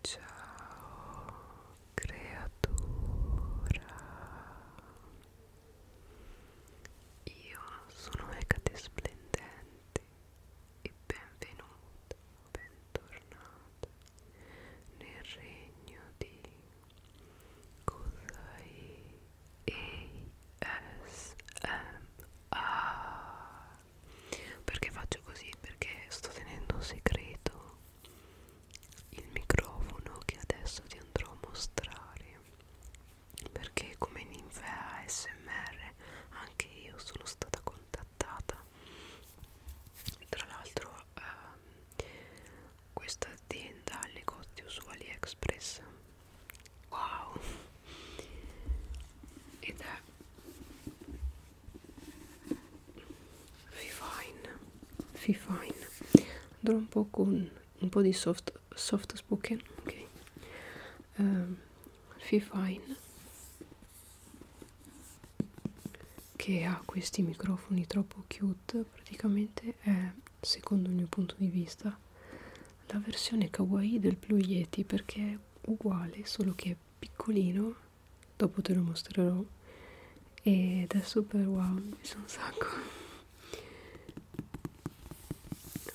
Ciao creatura Io sono Ecate Splendente e benvenuta, bentornata nel regno di Kozai ASMR perché faccio così perché sto tenendo un segreto il microfono che adesso ti andrò a mostrare perché come ninfea smr anche io sono stata contattata tra l'altro ehm, questa azienda ha negozio su aliexpress wow ed è Fifine, Fifine. Andrò un po' con un po' di soft, soft spoken, ok? Um, ehm, Fifine che ha questi microfoni troppo cute, praticamente è, secondo il mio punto di vista, la versione kawaii del Blue Yeti perché è uguale, solo che è piccolino dopo te lo mostrerò ed è super wow mi sono un sacco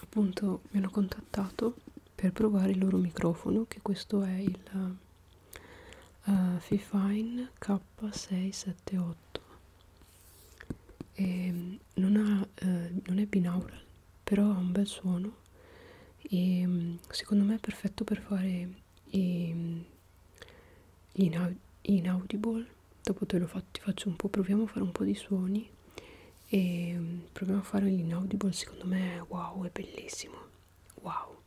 appunto mi hanno contattato per provare il loro microfono che questo è il uh, Fifine K678 e ehm, non, ha, eh, non è binaural però ha un bel suono buono e secondo me è perfetto per fare i, gli inaud inaudible dopo te lo fa ti faccio un po' proviamo a fare un po' di suoni e proviamo a fare l'inaudible secondo me wow è bellissimo wow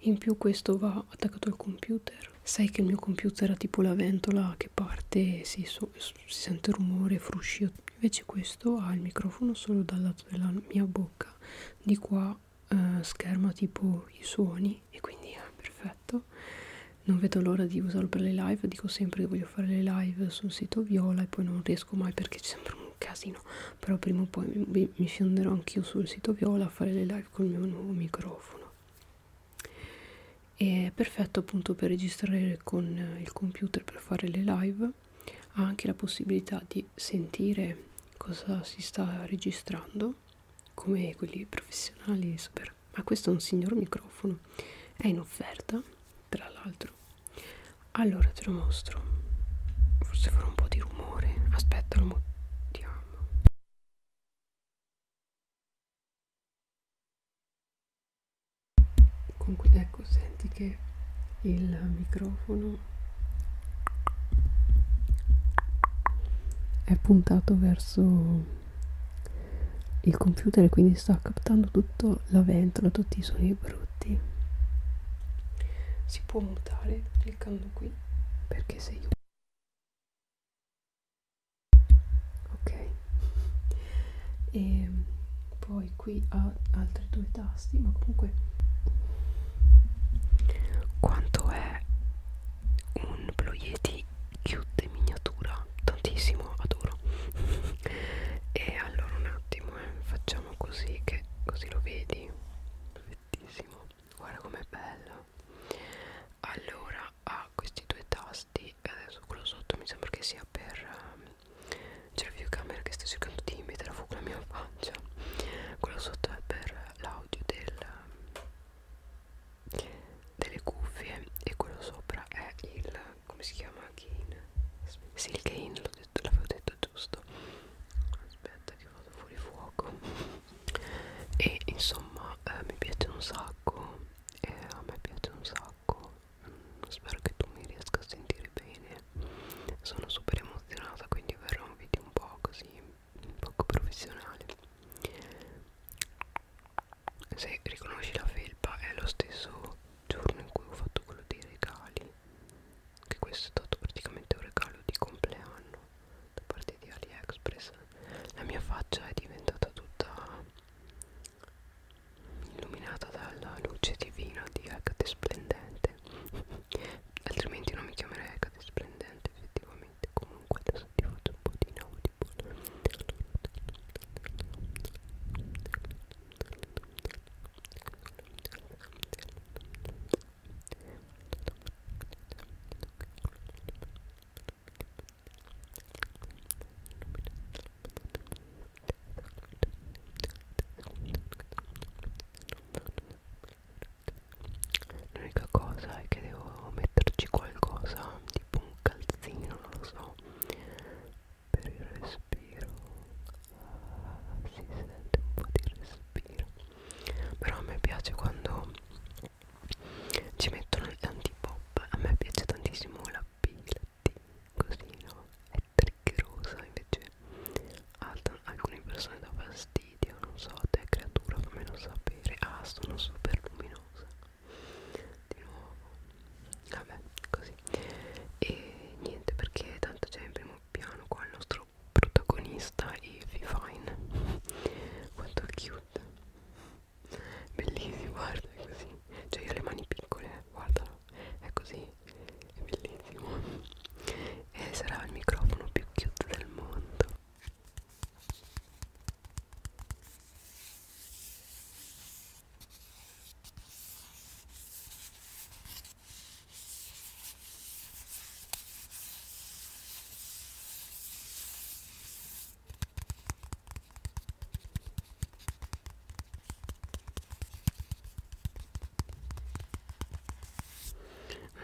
in più questo va attaccato al computer sai che il mio computer ha tipo la ventola che parte e si, so si sente rumore fruscio invece que questo ha il microfono solo dal lato della mia bocca di qua eh, scherma tipo i suoni e quindi è perfetto non vedo l'ora di usarlo per le live dico sempre che voglio fare le live sul sito viola e poi non riesco mai perché c'è sempre un casino però prima o poi mi, mi fionderò anch'io sul sito viola a fare le live col mio nuovo microfono è perfetto appunto per registrare con il computer per fare le live ha anche la possibilità di sentire cosa si sta registrando come quelli professionali super ma questo è un signor microfono è in offerta tra l'altro allora te lo mostro forse farò un po' di rumore aspetta lo modiamo comunque ecco senti che il microfono è puntato verso il computer e quindi sta captando tutto la ventola tutti i suoni brutti si può mutare cliccando qui perché se io ok e poi qui ha altri due tasti ma comunque quanto è un Blue Yeti cute in miniatura tantissimo adoro e allora un attimo eh, facciamo così che così lo vedi perfettissimo guarda com'è bello allora ha questi due tasti adesso quello sotto mi sembra che sia per um, c'è la videocamera che sta cercando di mettere a fuoco la mia faccia. Quello sotto è per l'audio delle cuffie e quello sopra è il come si chiama gain? Sì, il gain l'avevo detto, detto giusto. Aspetta che vado fuori fuoco. E insomma eh, mi piace un sacco. Eh, a me piace un sacco spero che tu mi riesca a sentire bene sono super emozionata quindi verrà un video un po' così poco professionale se riconosci la felpa è lo stesso giorno in cui ho fatto quello dei regali che questo è stato praticamente un regalo di compleanno da parte di AliExpress la mia faccia è diventata tutta illuminata dalla luce divina di Agate Splendente altrimenti non mi chiamerei Agate Splendente effettivamente comunque adesso ti faccio un po' di inaudible L'unica cosa è che devo metterci qualcosa tipo un calzino, non lo so, per il respiro. Ah, si sente un po' di respiro. Però a me piace quando ci mettono l'antipop, a me piace tantissimo la P, la effetti così no è triggerosa invece ad alcune persone dà fastidio non so te creatura fammelo sapere ah sono super luminosa di nuovo vabbè così e niente perché tanto c'è cioè, in primo piano qua il nostro protagonista Evie Fine quanto cute bellissimo guarda così cioè io ho le mani piccole eh, guardalo è così, è bellissimo e sarà il microfono più cute del mondo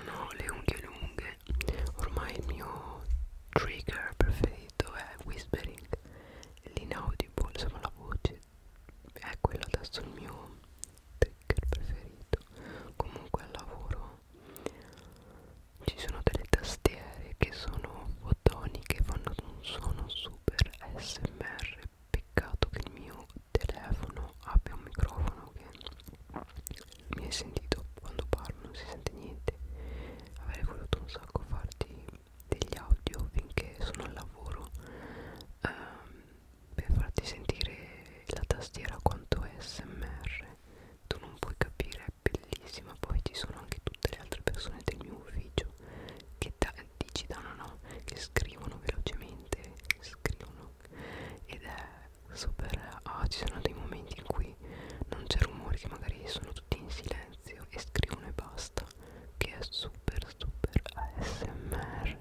non ho le unghie lunghe, ormai il mio trigger preferito è whispering, l'inaudible, insomma la voce è quello adesso il mio trigger preferito. Comunque al lavoro ci sono delle tastiere che sono fotoniche, fanno un suono super smr peccato che il mio telefono abbia un microfono che mi hai sentito quando parlo non si sente niente avrei voluto un sacco farti degli audio finché sono al lavoro ehm, per farti sentire la tastiera quanto è smr tu non puoi capire è bellissima poi ci sono anche tutte le altre persone del mio ufficio che da digitano no? che scrivono velocemente scrivono ed è super ah ci sono dei momenti in cui non c'è rumore che magari sono tutti in silenzio e scrivono e basta che è super super ASMR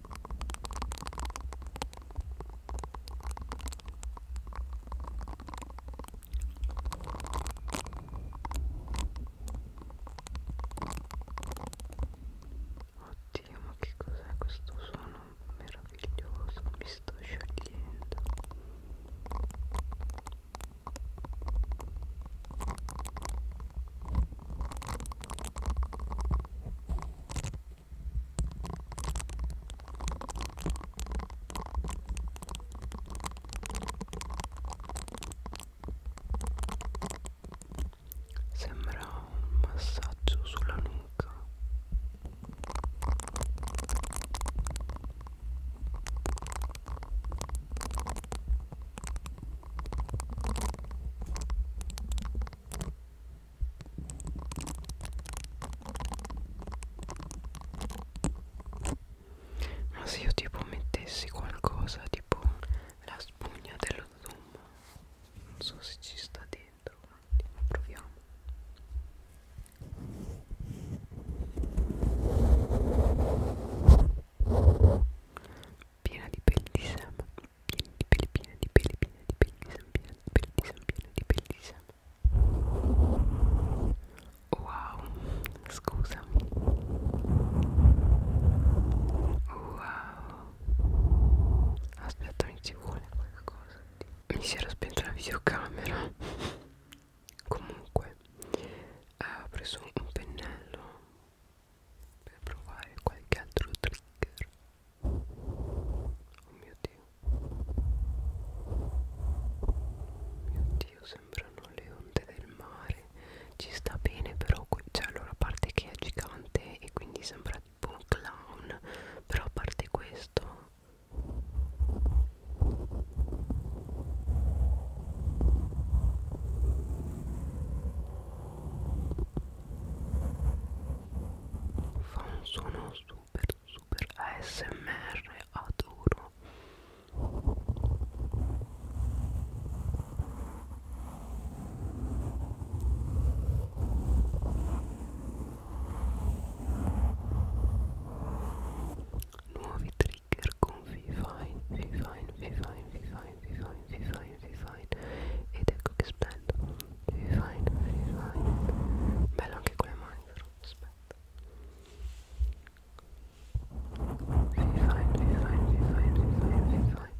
Oddio, ma che cos'è questo suono meraviglioso? Mi sto sciogliendo. Sembra un massaggio sulla nuca. Ma se io tipo mettessi qualcosa tipo la spugna dello zoom Non so se ci sta dentro ma proviamo piena di peli di Sam piena di peli, piena di peli, piena di peli di Sam piena di peli di Sam, piena di peli di Sam wow, scusami wow aspetta mi ci vuole qualcosa mi si era spenta la videocamera comunque eh, ho preso un pennello per provare qualche altro trigger Oh mio Dio. Oh mio Dio, sembrano le onde del mare. Ci sta bene però qui. Cioè, allora, a parte che è gigante e quindi sembra tipo un clown. Però a parte questo fa un suono super super ASMR adoro nuovi trigger con Vivine Vivine Vivine Vivine Vivine Vivine fine, very fine ed ecco che splendo very fine, very fine bello anche con le mani però, aspetta very fine, very fine, very fine, very fine, very fine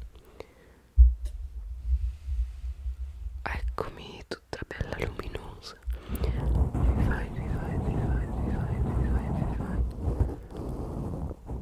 eccomi tutta bella luminosa very fine, very fine, very fine, very fine, very fine, very fine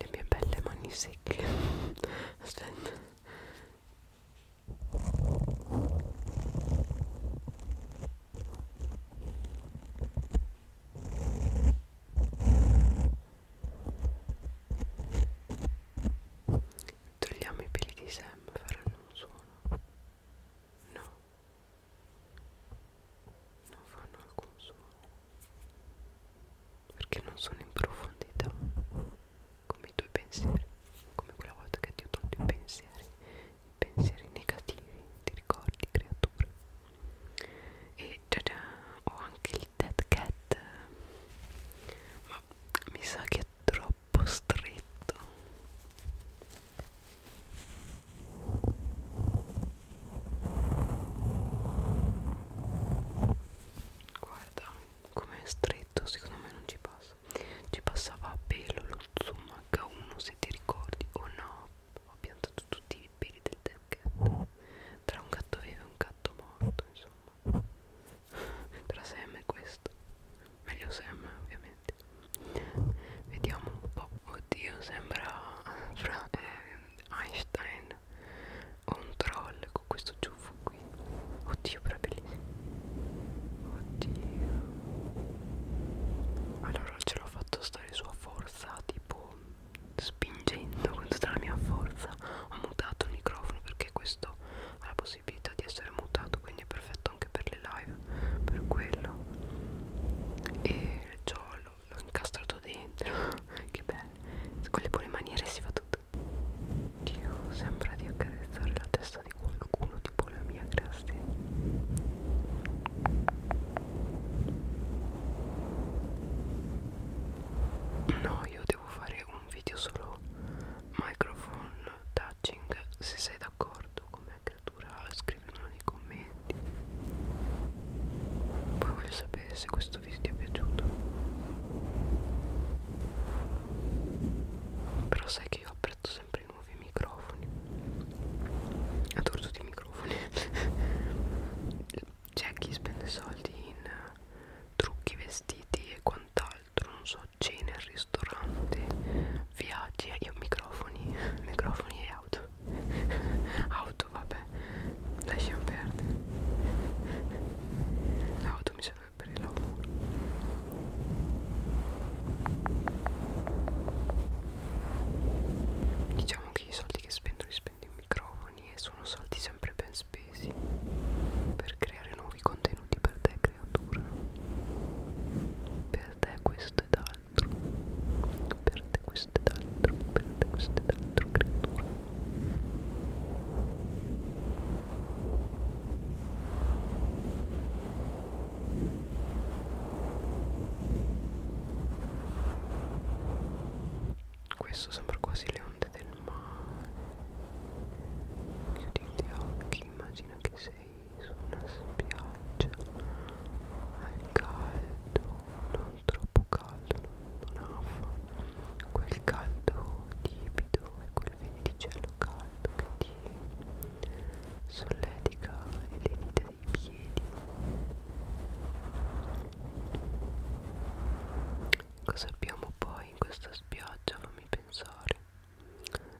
le mie belle mani secche aspetta togliamo i peli di Sam faranno un suono no non fanno alcun suono perché non sono in profondità come i tuoi pensieri come quella volta che ti ho tolto i pensieri i pensieri negativi ti ricordi creatura e già già ho anche il dead cat ma mi sa che è troppo stretto Guarda com'è stretto, secondo me non ci passa. Ci passava a pelo lo zoom H1 se ti ricordi. Oh no, ho piantato tutti i peli del gatto. Tra un gatto vivo e un gatto morto, insomma. Tra Sam e questo. Meglio Sam, ovviamente. Vediamo un po'. Oddio, sembra fra, eh, Einstein o un troll con questo ciuffo qui oddio però è bellissimo oddio allora ce l'ho fatto stare su a forza tipo spingendo con tutta la mia forza ho mutato il microfono perché questo ha la possibilità di essere mutato quindi è perfetto anche per le live per quello e ciò l'ho l'ho incastrato dentro che bello con le buone maniere si fa tutto Dio sembra di accarezzare la testa di qualcuno tipo la mia grazie no io devo fare un video solo microphone touching se sei d'accordo come creatura scrivimelo nei commenti poi voglio sapere se questo video ti è piaciuto però sai che io apprezzo sempre i nuovi microfoni adoro tutti i microfoni c'è chi spende soldi in eh, trucchi vestiti e quant'altro non so cene al ristorante viaggi e eh, microfoni microfoni e auto auto vabbè lasciamo perdere l'auto mi serve per il lavoro diciamo che i soldi che spendo li spendo in microfoni e sono soldi sempre ben spesi per creare nuovi contenuti per te creatura per te questo è da d'altro per te questo è d'altro per te questo è d'altro creatura questo sembra quasi le onde del mare chiudi gli occhi immagina che sei su una spiaggia al caldo non troppo caldo, non, non affa quel caldo tipido e quel venticello caldo che ti solletica le dita dei piedi cosa abbiamo poi in questa spiaggia fammi pensare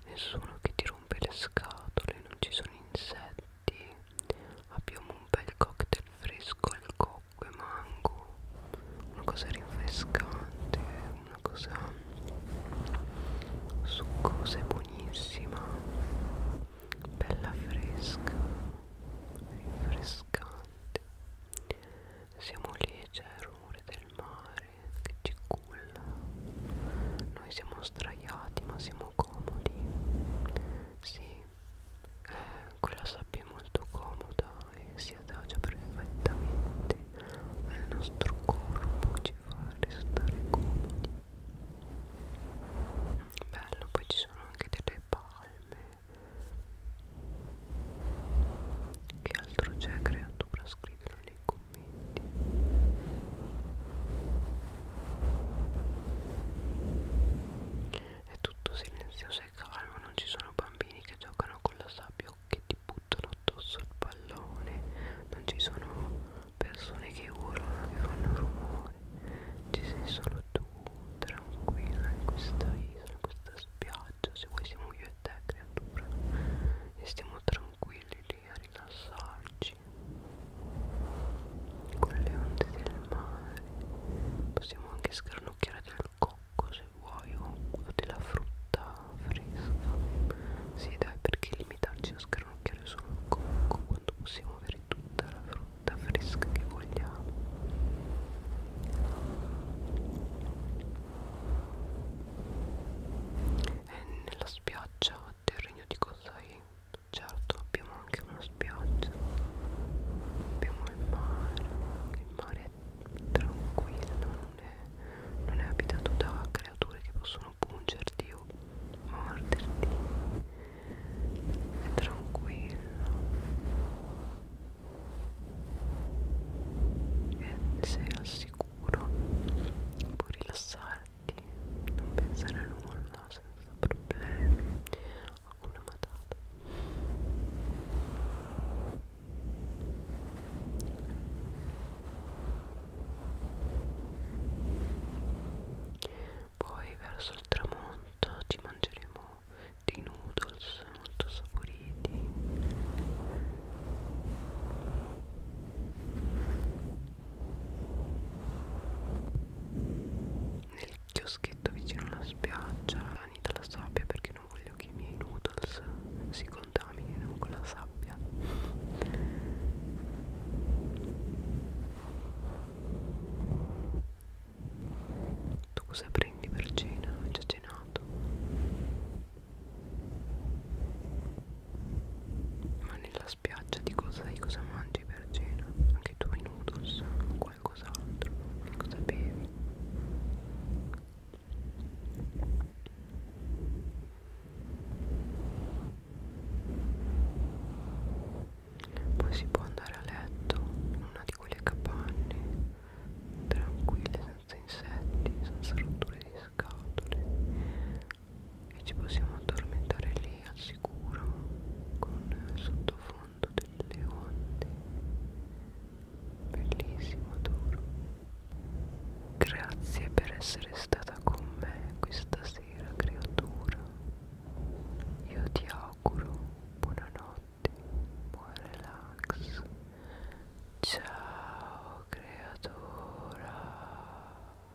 nessuno che ti rompe le scatole non ci sono insetti frutti abbiamo un bel cocktail fresco al cocco e mango una cosa rinfrescante una cosa succosa e buonissima bella fresca rinfrescante siamo lì c'è il rumore del mare che ci culla noi siamo straiati ma siamo comodi sì eh, quella sabbia è molto comoda e si adagia perfettamente al nostro corpo ci fa restare comodi bello poi ci sono anche delle palme che altro c'è creatura scrivilo nei commenti è tutto silenzioso e calmo, non ci sono bambini che giocano con la sabbia o che ti buttano addosso il pallone, non ci sono persone che urlano, che fanno rumore, ci sei solo tu, tranquilla in questa isola, in questa spiaggia, se vuoi siamo io e te creatura e stiamo tranquilli lì a rilassarci con le onde del mare possiamo anche scarnocchiare del cocco se vuoi o della frutta fresca sì dai perché limitarci a scarnocchiare solo il cocco quando possiamo avere tutta la frutta fresca che vogliamo e eh, nella spiaggia del regno di Kosai certo abbiamo anche una spiaggia abbiamo il mare il mare è tranquillo non è, non è abitato da creature che possono pungerti o morderti è tranquillo e eh, sei al sicuro puoi rilassare attacchi non pensare a nulla senza problemi ho una matata poi verso il tramonto ci mangeremo dei noodles molto saporiti nel chioschetto vicino alla spiaggia anita la sabbia perché non voglio che i miei noodles si contaminino con la sabbia tu cosa prendi per cena? ho già cenato ma nella spiaggia di cosa, di cosa mangi per cena? Anche tu i noodles o qualcos'altro? Che cosa bevi? Poi si può andare a letto in una di quelle capanne tranquille, senza insetti, senza rotture di scatole e ci possiamo addormentare lì al sicuro con il sottofondo delle onde bellissimo adoro grazie per essere stata con me questa sera creatura io ti auguro buonanotte buon relax ciao creatura